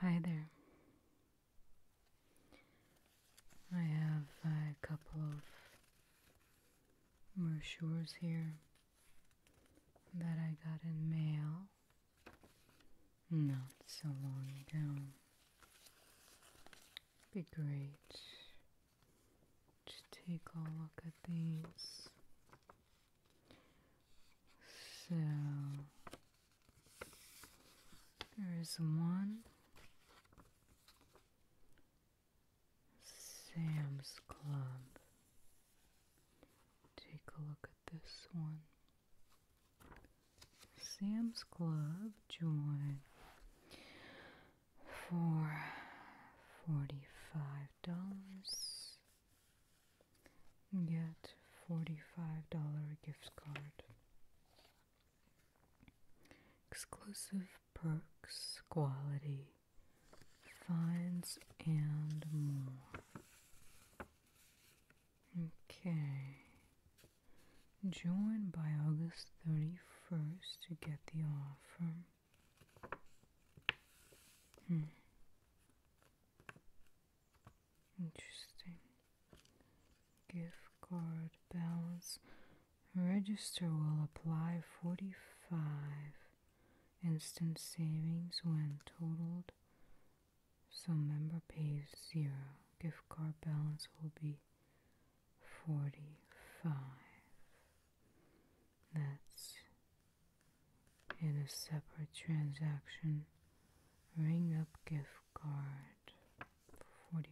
Hi there. I have a couple of brochures here that I got in mail not so long ago. It'd be great just take a look at these. So there is one Sam's Club. Take a look at this one. Sam's Club join for $45. Get $45 gift card. Exclusive perks, quality, finds, and more. Okay. Join by August 31st to get the offer. Hmm. Interesting. Gift card balance. Register will apply 45 instant savings when totaled. So member pays zero. Gift card balance will be 45. That's in a separate transaction. Ring up gift card for $45.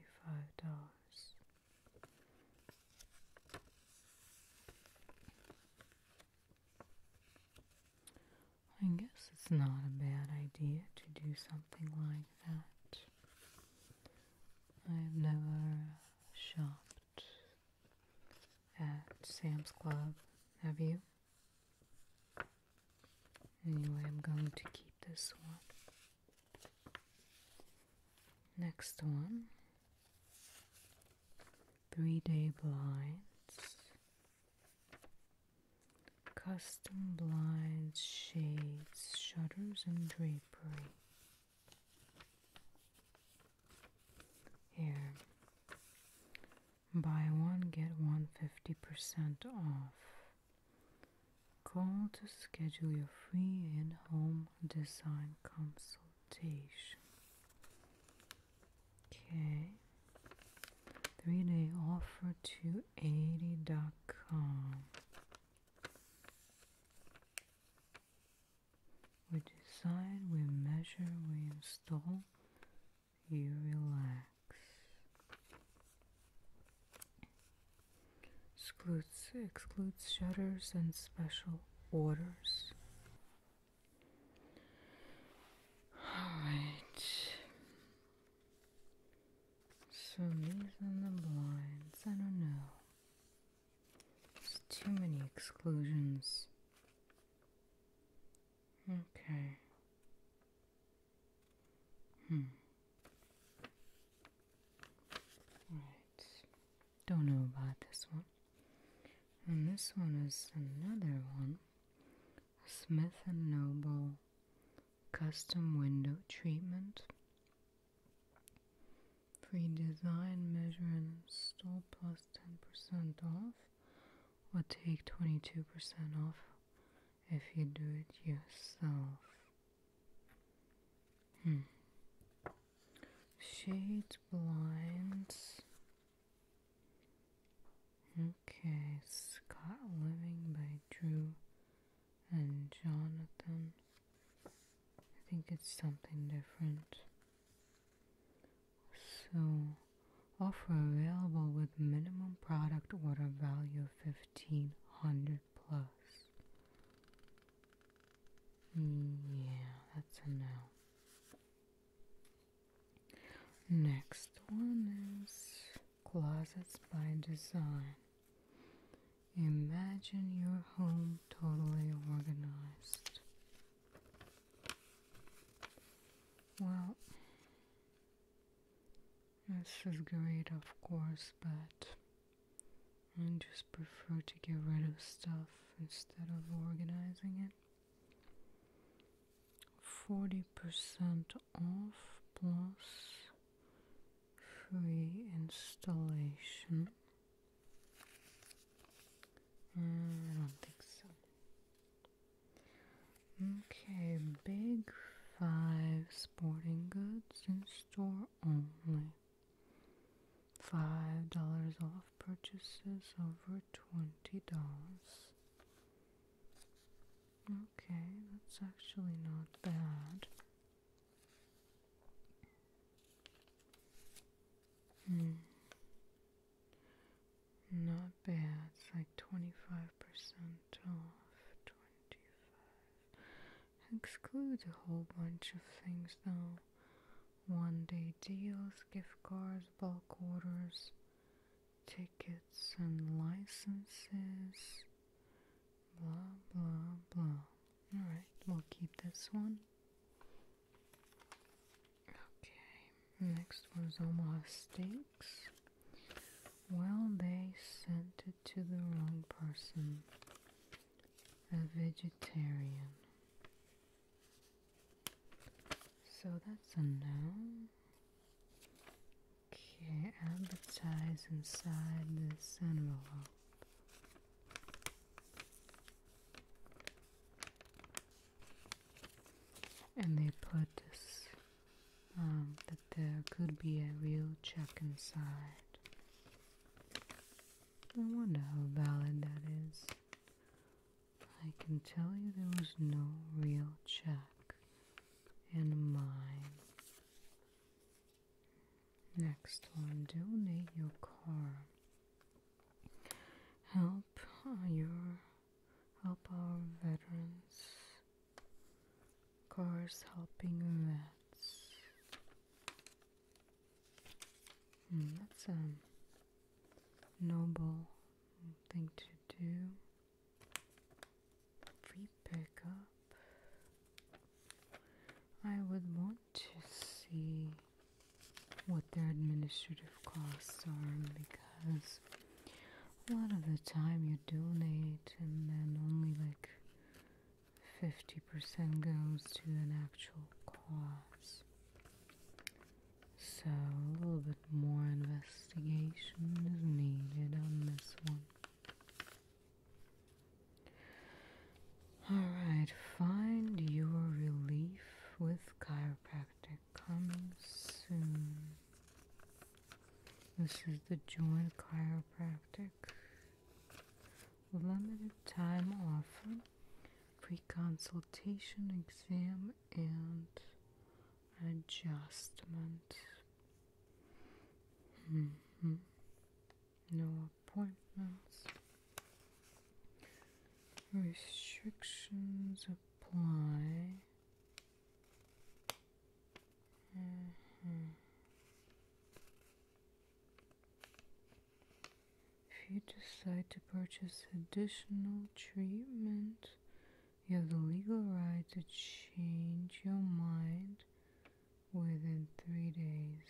I guess it's not a bad idea to do something like that. I've never shopped at Sam's Club, have you? Anyway, I'm going to keep this one. Next one Three Day Blinds. Custom blinds, shades, shutters, and drapery. Here, buy one, get one fifty percent off. Call to schedule your free in home design consultation. Okay, three day offer to 80.com. We decide, we measure, we install, you relax. Excludes, excludes shutters and special orders. Alright. So these and the blinds, I don't know. There's too many exclusions. Okay. Hmm. Right. Don't know about this one. And this one is another one. Smith and Noble custom window treatment. Pre-design, measure and install plus 10% off or take 22% off if you do it yourself. Hmm. Shades, blinds. Okay, Scott Living by Drew and Jonathan. I think it's something different. So, offer available with minimum product order value of 1500 plus. Yeah, that's a no. Next one is Closets by Design. Imagine your home totally organized. Well, this is great, of course, but I just prefer to get rid of stuff instead of organizing it. 40% off plus free installation. Mm, I don't think so. Okay, Big Five Sporting Goods in store only. Five dollars off purchases over twenty dollars. Okay, that's actually not bad. Hmm. Not bad. It's like 25% off. 25. Excludes a whole bunch of things though. One day deals, gift cards, bulk orders, tickets and licenses. Blah blah blah. Alright, we'll keep this one. Okay, next was almost Steaks. Well, they sent it to the wrong person. A vegetarian. So that's a no. Okay, advertise inside this envelope. And they put this um, that there could be a real check inside. I wonder how valid that is. I can tell you there was no real check in mine. Next one, donate your car. Help uh, your help our veterans. Cars helping vets. Hmm, that's a noble thing to do free pickup. I would want to see what their administrative costs are because a lot of the time you donate and then only like 50% goes to an actual cause. So a little bit more investigation is needed on this one. Alright, find your relief with chiropractic coming soon. This is the joint chiropractic. Limited time offer, pre consultation exam, and adjustment Mm -hmm. No appointments. Restrictions apply. Mm-hmm. If you decide to purchase additional treatment, you have the legal right to change your mind within three days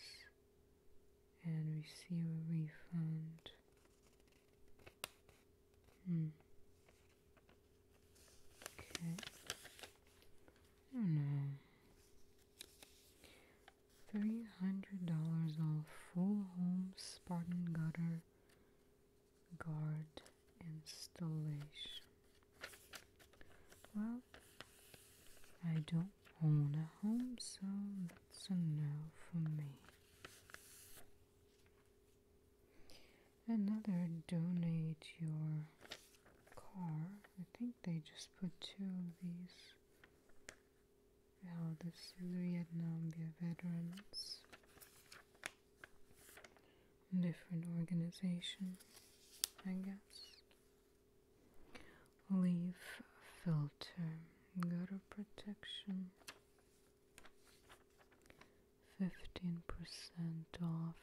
and receive a refund. Hmm. Okay. I oh, don't know. Three hundred dollars off full home Spartan gutter guard installation. Well, I don't own a home, so that's enough for me. Another donate your car. I think they just put two of these. Well, this is Vietnam veterans different organization, I guess. Leaf filter, gutter protection, 15% off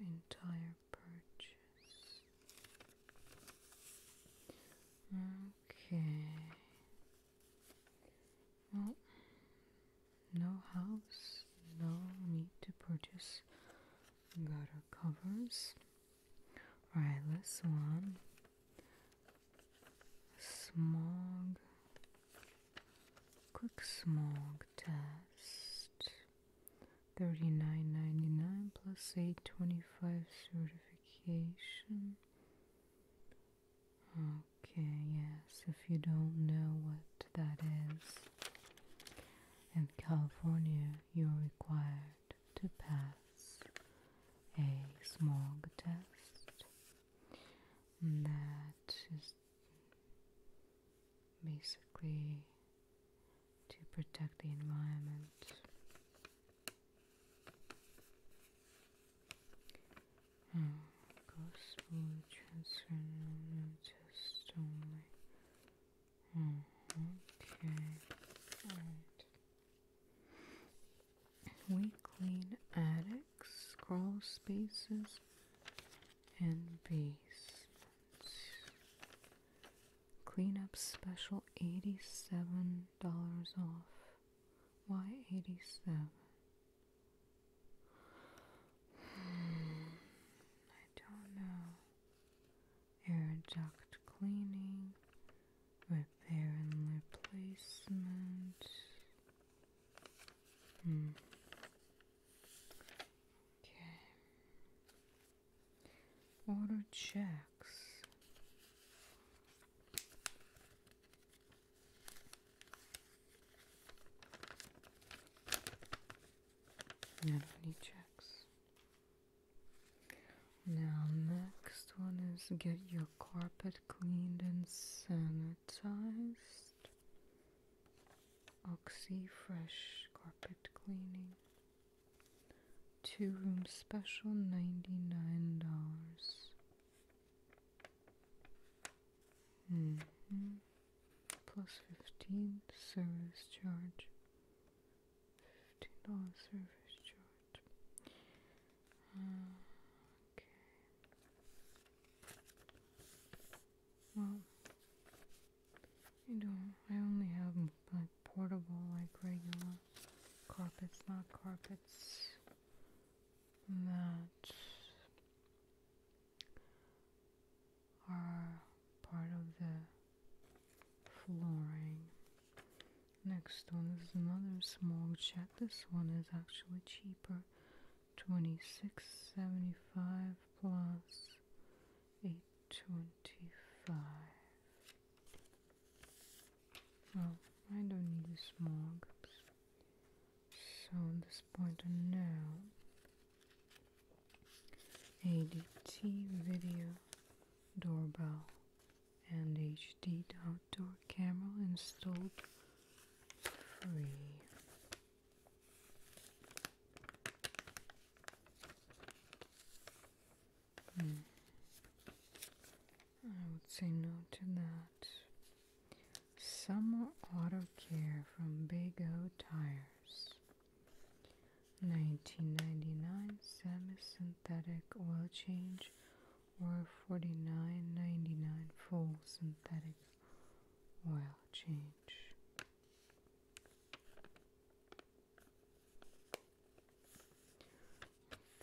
entire purchase. Okay. Well, no house, no need to purchase got our covers. Alright, this one. Smog. Quick smog test. Thirty-nine ninety-nine plus eight twenty-five certification. Okay, yes, if you don't know what that is, in California, you are required to pass a smog test that is basically to protect the environment. Goes food transfer noticed only Mm-hmm. We clean attics, crawl spaces, and basements. Cleanup special $87 off. Why 87? Hmm, I don't know. Air duct cleaning, repair and replacement. Hmm. Okay. Order checks. Not any checks. Now, next one is get your carpet cleaned and sanitized. Oxy Fresh Carpet Cleaning. Two room special, $99. -hmm plus 15 service charge. $15 service charge. Uh, okay. Well, you know, I only have like portable, like regular carpets, not carpets. that are part of the flooring. Next one is another small jet. This one is actually cheaper. Twenty-six seventy-five plus eight twenty-five. Well, I don't need the small so this pointer now ADT video doorbell and HD outdoor camera installed free. Hmm. I would say no to that. Summer Auto Care from Big O Tires. 19.99 semi-synthetic oil change or 49.99 full synthetic oil change.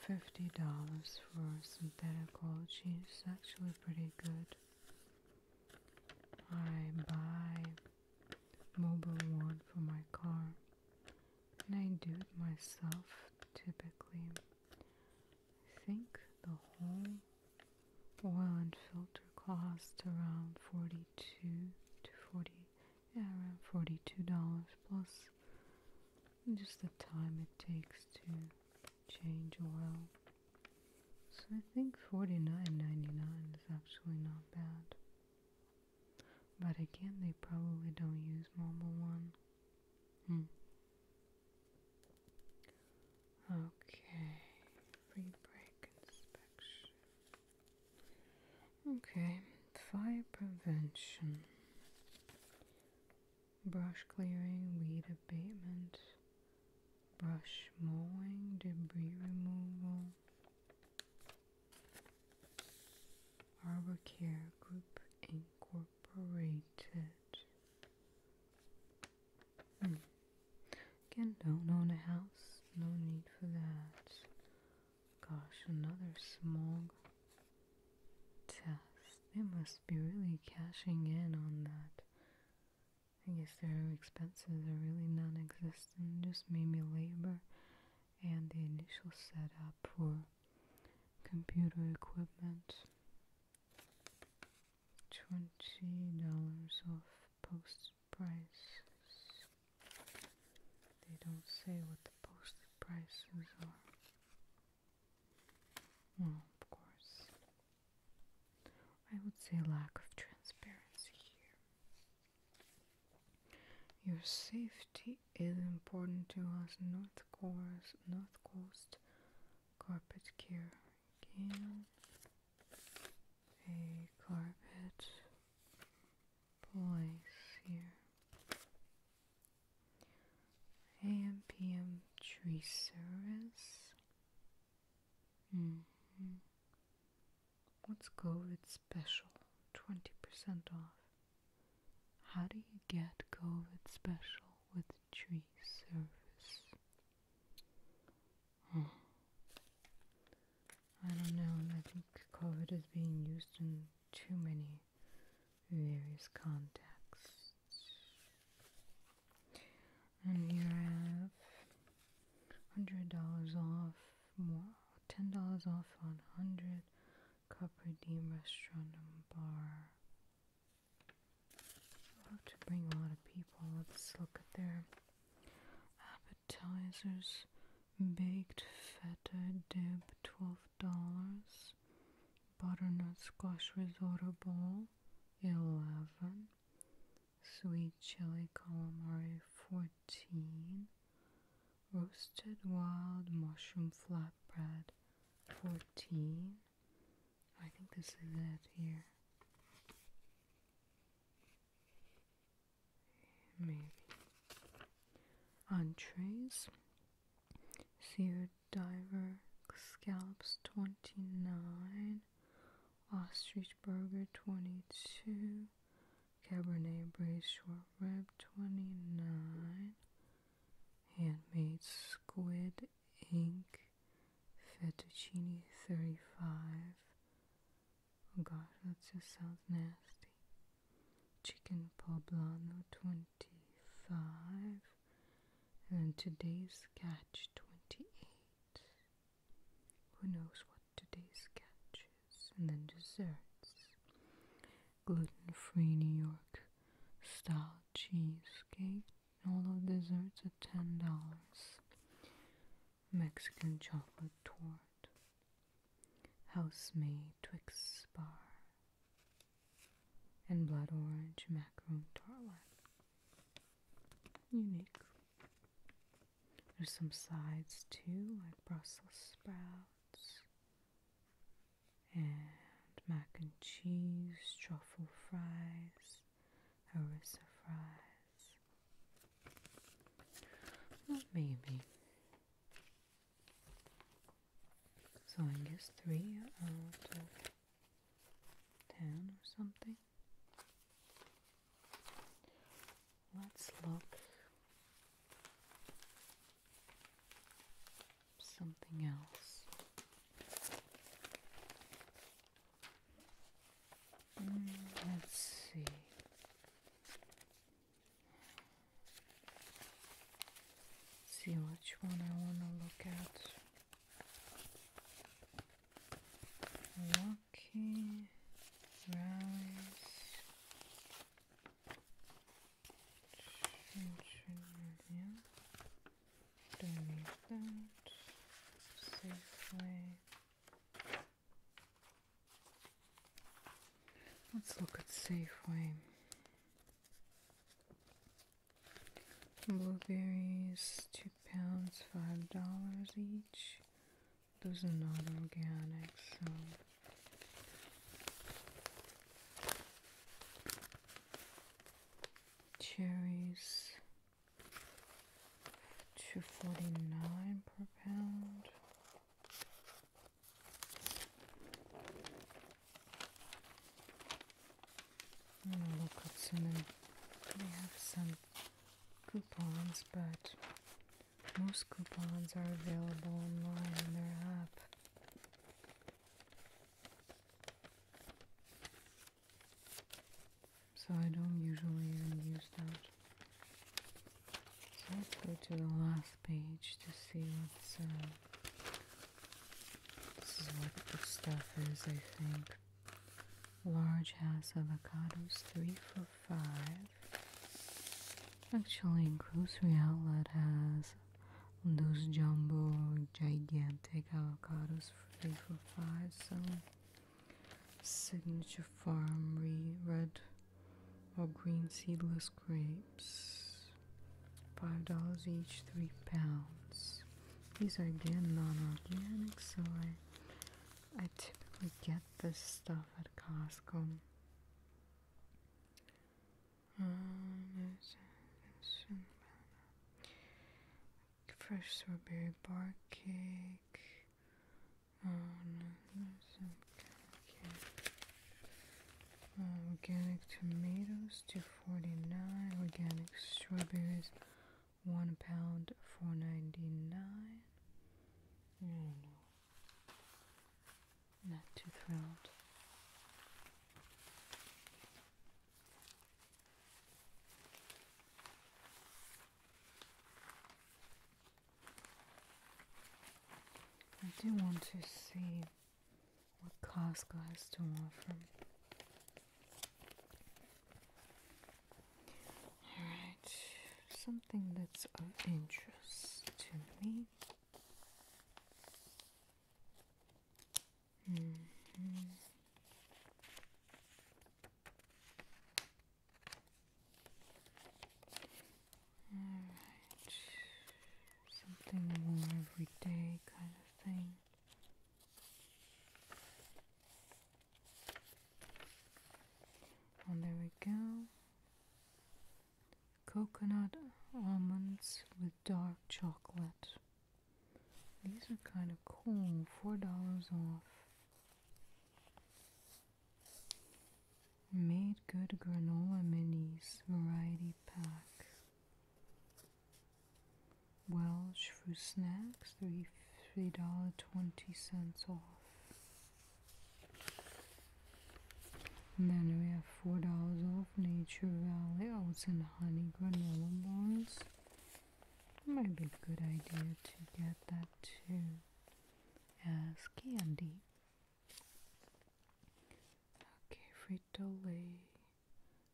$50 for a synthetic oil change is actually pretty good. I buy mobile one for my car and I do it myself typically. I think the whole oil and filter cost around 42 to 40 yeah around 42 dollars plus just the time it takes to change oil. So I think forty nine ninety nine is actually not bad. But again, they probably don't use Mobil One. Hmm. Okay. Free brake inspection. Okay. Fire prevention. Brush clearing, weed abatement, brush mowing, debris removal, Arbor Care Group Incorporated. Hmm. Again, don't own a house, no need for that. Gosh, another smog test. They must be really cashing in on that I guess their expenses are really non-existent, just maybe labor and the initial setup for computer equipment. Twenty dollars off posted prices. They don't say what the posted prices are. Well, of course. I would say lack of transparency here. Your safety is important to us, North Coast, North Coast Carpet Care. a carpet place here. AM tree service Mm -hmm. What's COVID special? 20% off. How do you get COVID special with tree service? Hmm. I don't know. I think COVID is being used in too many various contexts and you have hundred dollars off ten dollars off on hundred cup redeem restaurant and bar i to bring a lot of people let's look at their appetizers baked feta dip twelve dollars butternut squash risotto bowl 11 sweet chili calamari 14 roasted wild mushroom flatbread 14 I think this is it here maybe entrees seared Diver Scallops 29, Ostrich Burger 22, Cabernet Braised Short Rib 29, Handmade Squid Ink Fettuccine 35. Oh god, that just sounds nasty. Chicken poblano 20. 25 and today's catch 28 who knows what today's catch is and then desserts gluten-free new york style cheesecake all of desserts at ten dollars mexican chocolate tort house made twix bar and blood orange macaron tartlet. Unique. There's some sides too, like Brussels sprouts and mac and cheese, truffle fries, harissa fries. Well, maybe so I guess three out of ten or something. Let's look something else. Mm, let's see. See which one I want to look at. Milwaukee, Rallies, Children Safeway. Let's look at Safeway. Blueberries, two pounds, five dollars each. Those are not organic, cherries two forty nine per pound. I'm local Simon. They have some coupons, but most coupons are available online on their app. So I don't usually even use that. So let's go to the last page to see what's uh, this is what the stuff is, I think. Large house avocados, three for five. Actually, grocery outlet has those jumbo, gigantic avocados, three for five. So, signature farm, red or green seedless grapes. Five dollars each, three pounds. These are again non-organic, so I I typically get this stuff at Costco. Um, fresh strawberry bar cake. Um, organic tomatoes 249 organic strawberries one pound 499 not too thrilled I do want to see what Costco has to offer. Alright, something that's of interest to me. -hmm. All right something more everyday kind of thing. And oh, there we go. Coconut almonds with dark chocolate. These are kind of cool, four dollars off. Made Good Granola Minis Variety Pack. Welsh for snacks, three three dollar twenty cents off. And then we have four dollars off Nature Valley oats oh, and honey granola bars. Might be a good idea to get that too as candy. Okay, Frito Lay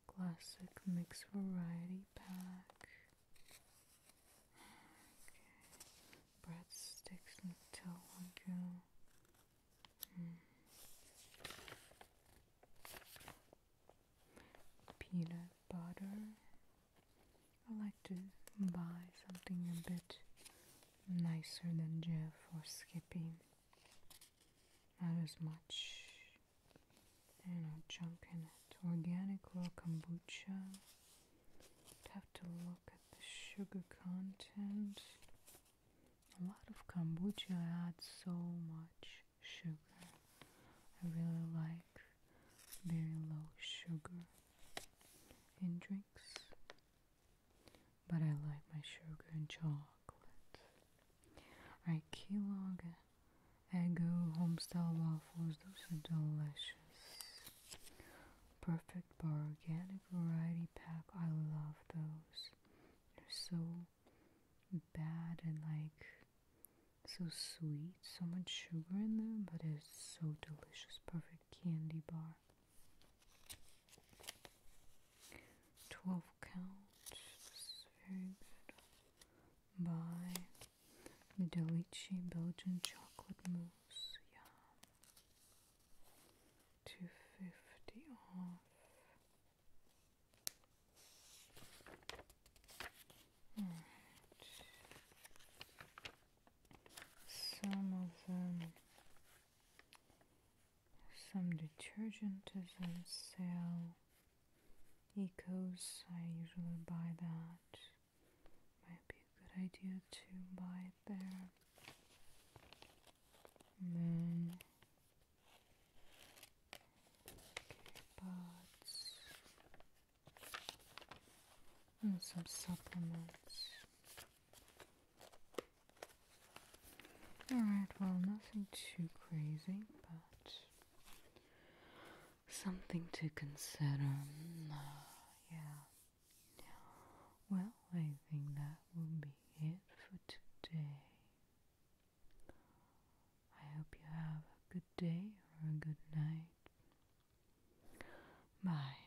Classic Mix Variety Pack. Okay, breadsticks Nutella goo. Mm. Peanut butter. I like to buy something a bit nicer than Jeff or Skippy not as much you know junk in it organic raw kombucha i have to look at the sugar content a lot of kombucha adds so much sugar I really like very low sugar in drinks but I like my sugar and chocolate. Alright, Keylog, Eggo, Homestyle waffles, those are delicious. Perfect Bar Organic Variety Pack, I love those. They're so bad and like so sweet, so much sugar in them, but it's so delicious. Perfect candy bar. 12 count, very good, by Medelici Belgian chocolate mousse, yeah, 250 off. some of them some detergent is on sale. Ecos, I usually buy that. Might be a good idea to buy there. And then pots and some supplements. Alright, well, nothing too crazy, but something to consider. Mm, uh, yeah. Well, I think that will be it for today. I hope you have a good day or a good night. Bye.